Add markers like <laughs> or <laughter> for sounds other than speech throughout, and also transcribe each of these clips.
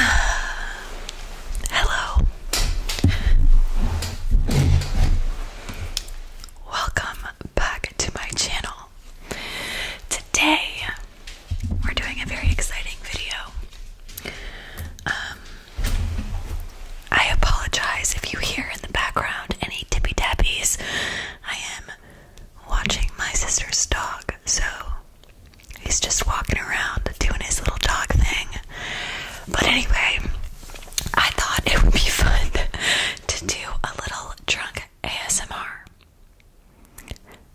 Hello. Welcome back to my channel. Today we're doing a very exciting video. Um, I apologize if you hear in the background any tippy tappies. I am watching my sister's dog, so He's just walking around doing his little dog thing. But anyway, I thought it would be <laughs> fun to do a little drunk ASMR.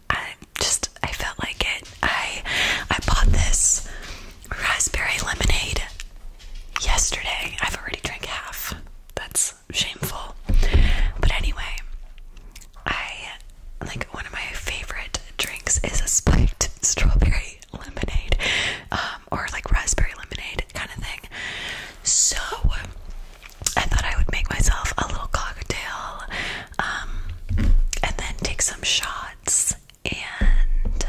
I just I felt like it. I I bought this raspberry lemonade yesterday. I've already drank half. That's shameful. But anyway, I like one of my favorite drinks is a spiked <laughs> strawberry lemonade, um, or like raspberry lemonade kind of thing. So I thought I would make myself a little cocktail, um, and then take some shots and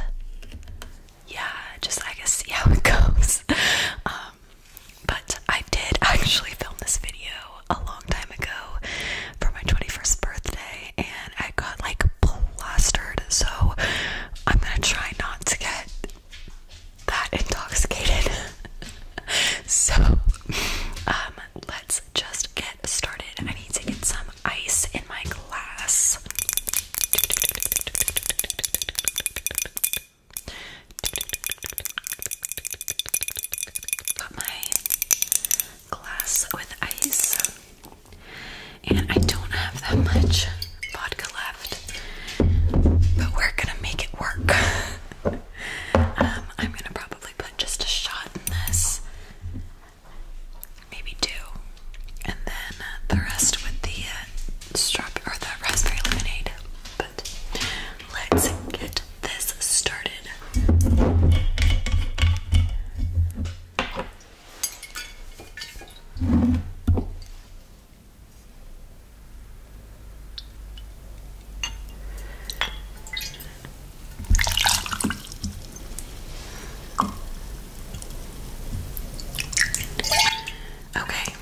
yeah, just I guess see how it <laughs> goes. Um, but I did actually film this video a long time ago for my 21st birthday and I got like plastered. So I'm gonna try not to get that intoxicated. <laughs> so, um, let's just get started. I need to get some ice in my glass. Got my glass with ice. And I don't have that much vodka left, but we're gonna make it work. <laughs> Um, I'm gonna probably put just a shot in this, maybe two, and then the rest with the uh, or the raspberry lemonade. But let's get this started. Okay,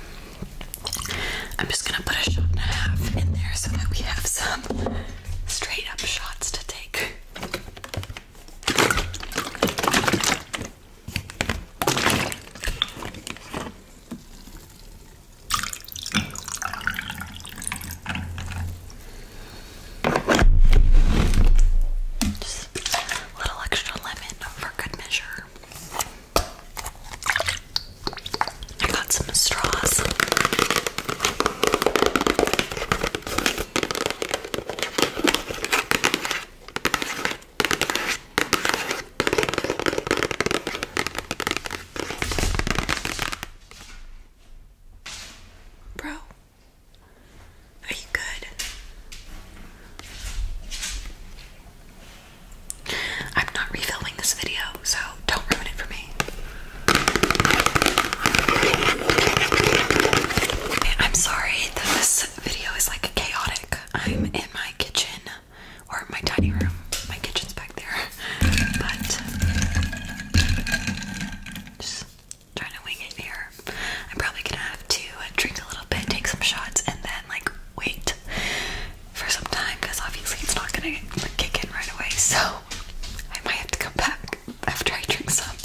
I'm just gonna put a shot and a half in there so that we have some straight up shots to take. Just a little extra lemon for good measure. I got some straws. Bro, are you good? I'm not refilming this video, so don't ruin it for me. I'm sorry that this video is like chaotic. I'm in my kitchen or my tiny room. My kitchen's back there. But just trying to wing it here. I'm probably gonna have to drink a little bit, take some shots, and then like wait for some time because obviously it's not gonna kick in right away. So I might have to come back after I drink some.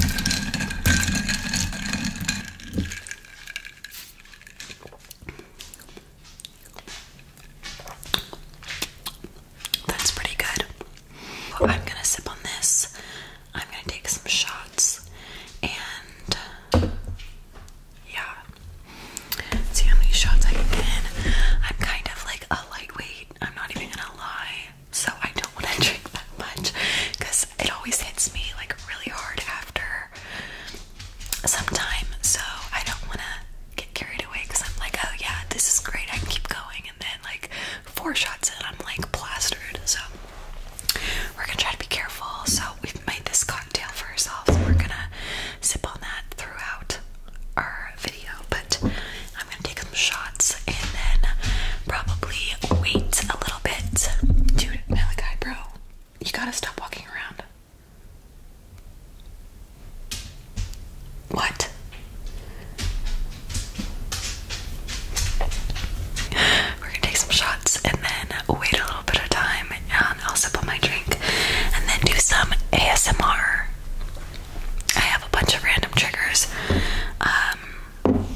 That's pretty good. I'm gonna sip on this. I'm gonna take some shots and yeah. See how many shots I can get I'm kind of like a lightweight I'm not even gonna lie. So I don't want to <laughs> drink that much because it always hits me like really hard after some So I don't want to get carried away because I'm like, oh yeah, this is great. I can keep going. And then like four shots and I'm like plastered. So we're gonna try to be careful. So we've made this cocktail for ourselves. We're gonna sip on that throughout our video video, but I'm gonna take some shots and then probably wait a little bit. Dude, my like You gotta stop walking around. What? We're gonna take some shots and then wait a little bit of time and I'll sip on my drink and then do some ASMR. I have a bunch of random triggers. Um,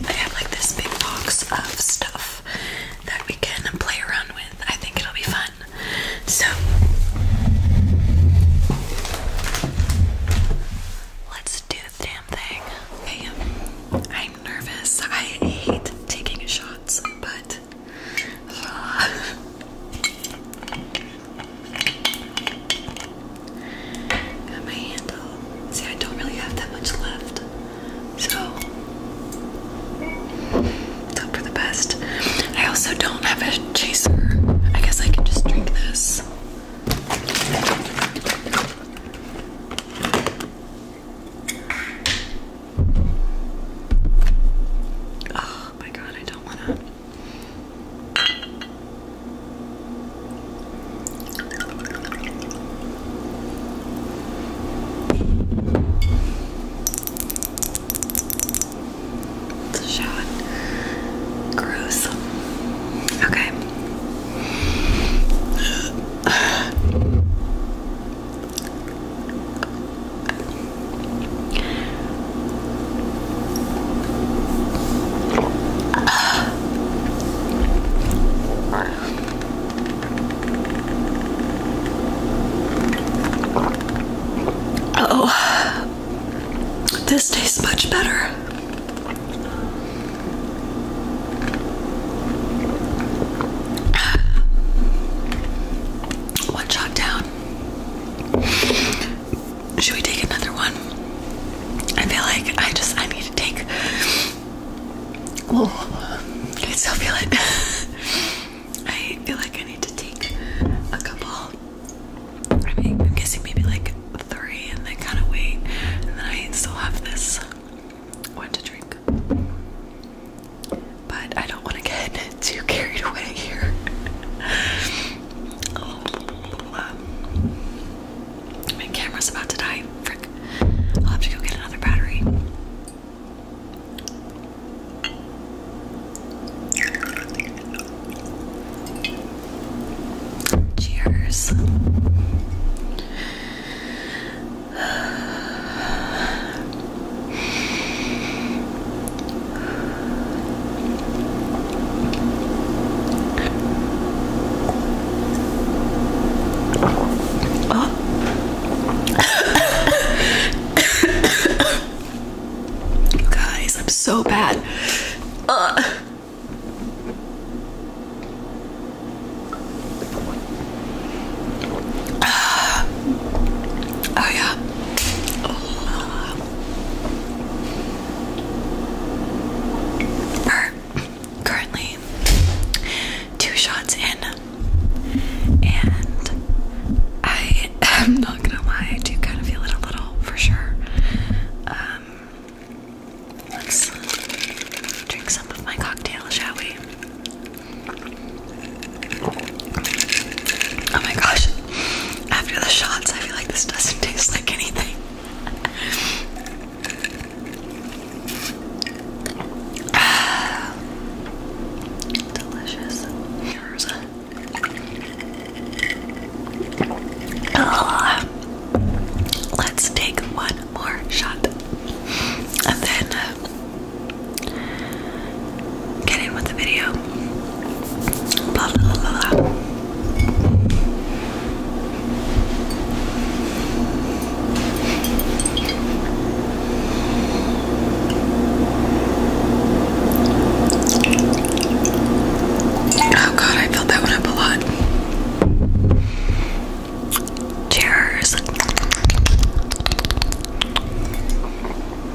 I have like this big box of stuff that we can play around with. I think it'll be fun. So, let's do the damn thing. Okay, I'm nervous. I hate taking shots, but. <laughs> <laughs> Got my handle. See, I don't really have that much left. So, it's hope for the best. I also don't have a chaser. I guess I can just drink this. Oh my god, I don't want to. It's a shot. Gross. Okay. Oh, this tastes much better. One shot down. Should we take another one? I feel like I just I need to take. Oh, I still feel it. <laughs> I feel like I need to take a couple. I I'm guessing maybe like three, and then kind of wait, and then I still have this one to drink. But I don't want to get <laughs> too carried away here. <laughs> my camera's about to die. Frick. I'll have to go get another battery. Cheers. Oh. you guys, I'm so bad. Uh. Oh yeah currently two shots in, and I am not gonna lie, I do kind of feel it a little for sure. Um, let's drink some of my cocktail, shall we? Oh my gosh, after the shots, I feel like this doesn't taste like anything. delicious. Here's let's take one more shot and then uh, get in with the video. Oh god, I filled that one up a lot. Cheers.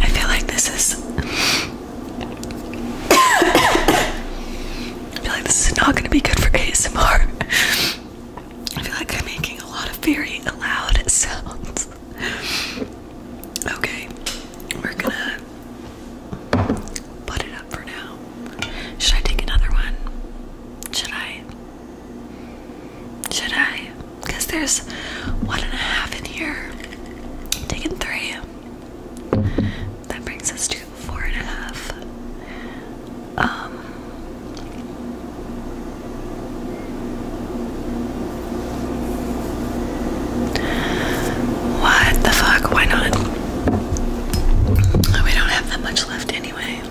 I feel like this is. I feel like this is not going to be good for ASMR. I feel like I'm making a lot of very loud sounds. Okay, we're gonna put it for now. Should I take another one? Should I? Should I? Because there's one and a half in here. taking three. That brings us to four and a half. Um. What the fuck? Why not? We don't have that much left anyway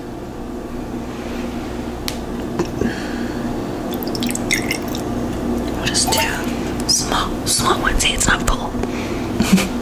just do small, small ones. it's not full. <laughs>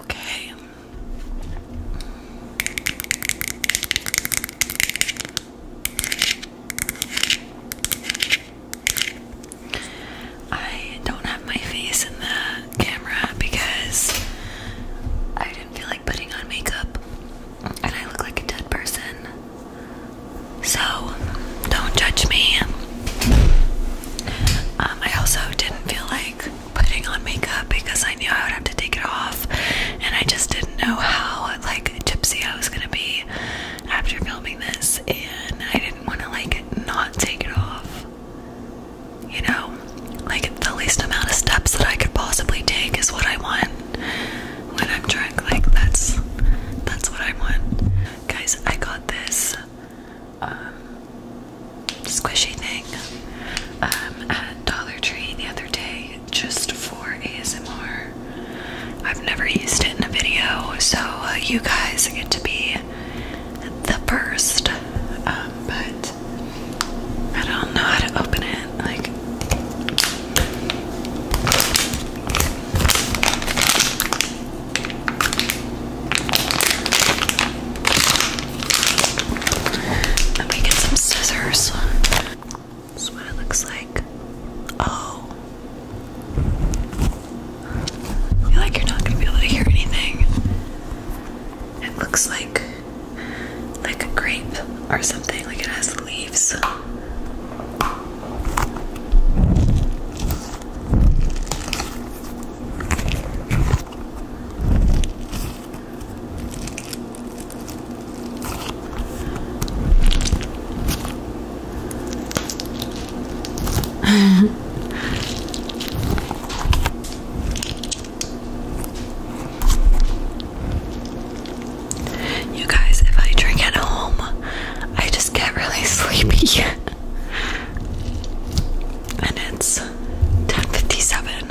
Okay. I don't have my face in the camera because I didn't feel like putting on makeup and I look like a dead person. So don't judge me. Um, I also didn't feel like putting on makeup because I knew I would have to take it off and I just didn't know how like gypsy I was gonna be after filming this and I didn't want to like not take it off. You know, like the least amount of steps that I could possibly take is what I want when I'm drunk. Like that's that's what I want. Guys, I got this um, squishy thing um at Dollar Tree the other day just for ASMR. I've never used it in a video, so uh, you guys get to be the first, um, but I don't know how to open it. Like, let me get some scissors. That's what it looks like. Oh. feel like you're not going to be able to hear anything. It looks like like a grape or something, like it has leaves. <laughs> You guys, if I drink at home, I just get really <laughs> sleepy. and it's 10:57.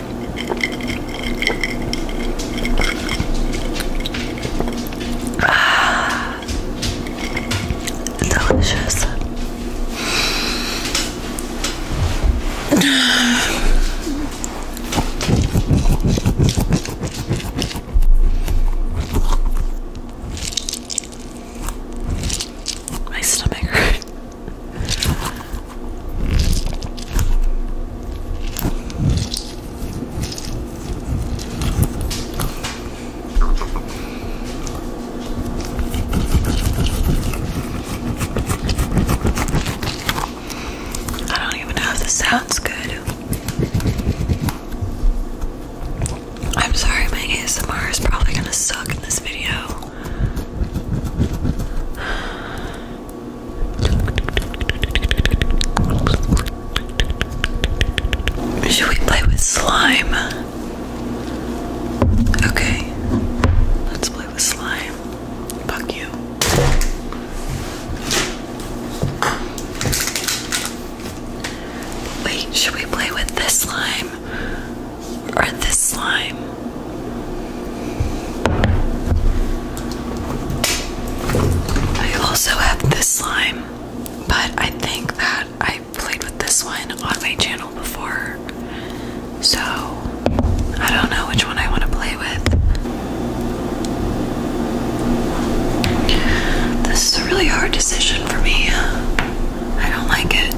Ah, delicious. <sighs> My stomach hurts. I don't even know if this sounds good. I'm sorry, my ASMR is probably gonna suck in this video. Should we play with slime? Okay. Let's play with slime. Fuck you. Wait, should we play with this slime? Or this slime? I also have this slime, but I think that I played with this one on my channel before. So I don't know which one I want to play with. This is a really hard decision for me. I don't like it.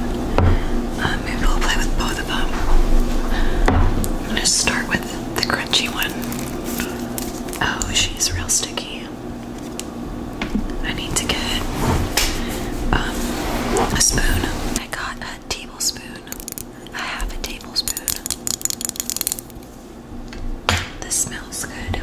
Um, maybe we'll play with both of them. I'm gonna start with the crunchy one. Oh, she's real sticky. I need to get um, a spoon. I got a tablespoon. I have a tablespoon. This smells good.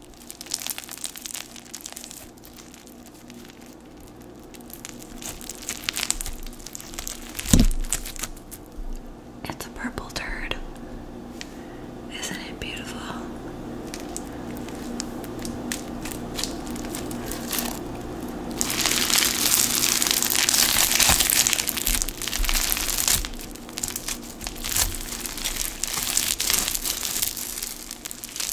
It's a purple turd. Isn't it beautiful?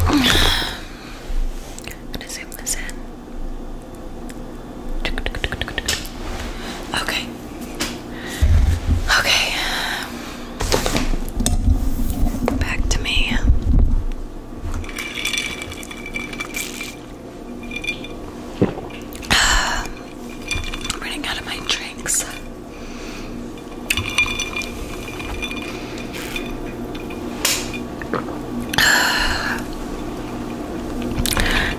I'm gonna zoom this in. Okay. Okay. Back to me. Um, running out of my drinks.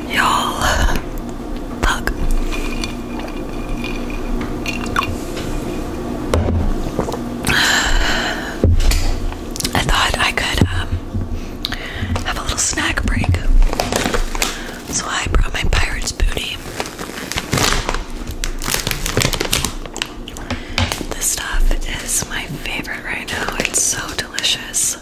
Y'all, fuck. I thought I could um, have a little snack break, so I brought my pirate's booty. This stuff is my favorite right now. It's so delicious.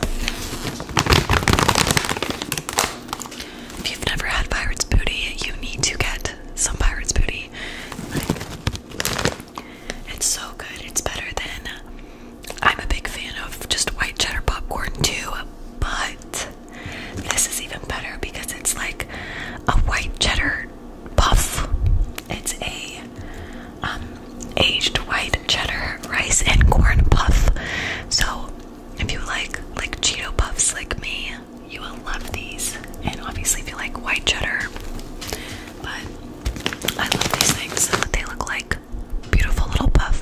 If you've never had Pirate's Booty, you need to get some Pirate's Booty. it's so good. It's better than. I'm a big fan of just white cheddar popcorn too, but this is even better because it's like a white cheddar puff. It's a um, aged white cheddar rice and corn puff. So if you like like Cheeto puffs like me, you will love these. And obviously if you like white cheddar, but I love these things. They look like beautiful little puff.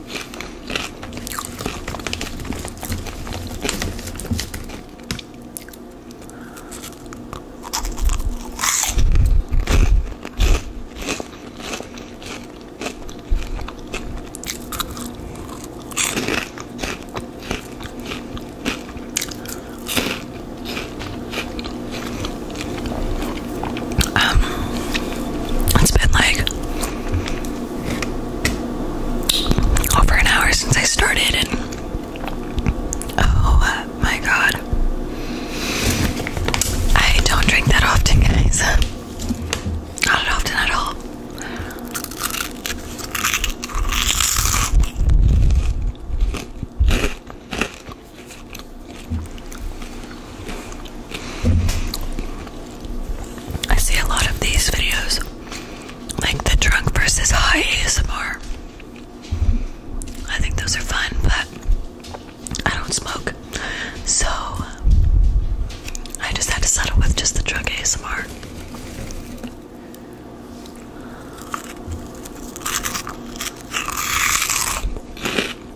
Um, it's been like over an hour since I started, and oh uh, my god, I don't drink that often, guys. Not often at all. I see a lot of these videos, like the drunk versus high ASMR. I think those are fun, but I don't smoke, so I just had to settle with just the drunk ASMR.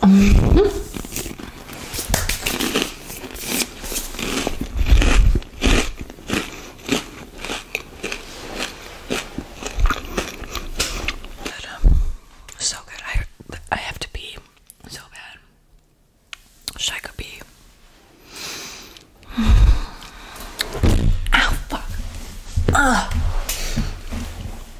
But, um, so good. I I have to pee so bad. Should I go pee? <sighs> Ow, fuck. Ugh.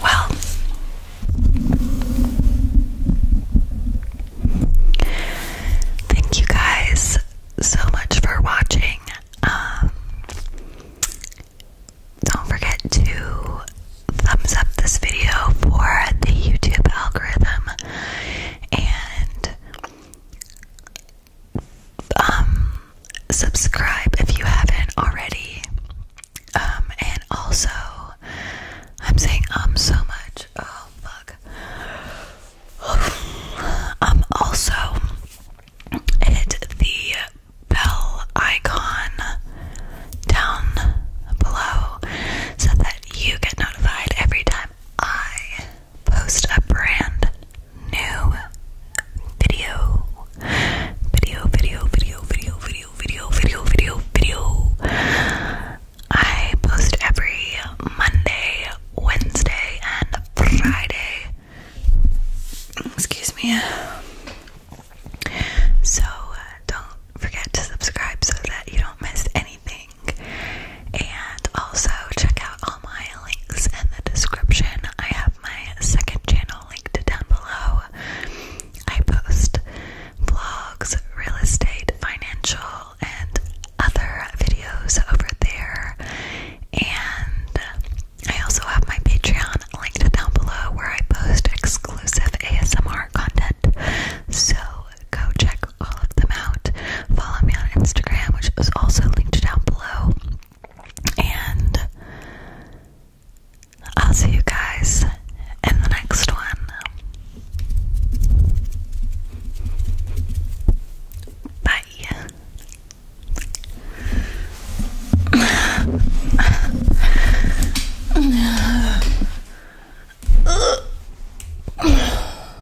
Well, thank you guys so much for watching. Um, don't forget to thumbs up this video for the YouTube algorithm and um, subscribe if you haven't already. Um, and also, I'm saying um so much. Oh, fuck. <sighs> Um, also, hit the bell icon down below so that you get notified every time I post a brand new video. Video, video, video, video, video, video, video, video, video. I post every Monday, Wednesday, and Friday. Excuse me. So, uh, don't forget to subscribe so that you don't miss anything. And also check out all my links in the description. I have my second channel linked down below. I post vlogs, real estate, financial, and other videos over there. And I also have my Patreon linked down below where I post exclusive ASMR content. So go check all of them out. Follow me on Instagram, which is also linked down below. And I'll see you guys in the next one. Bye. <laughs>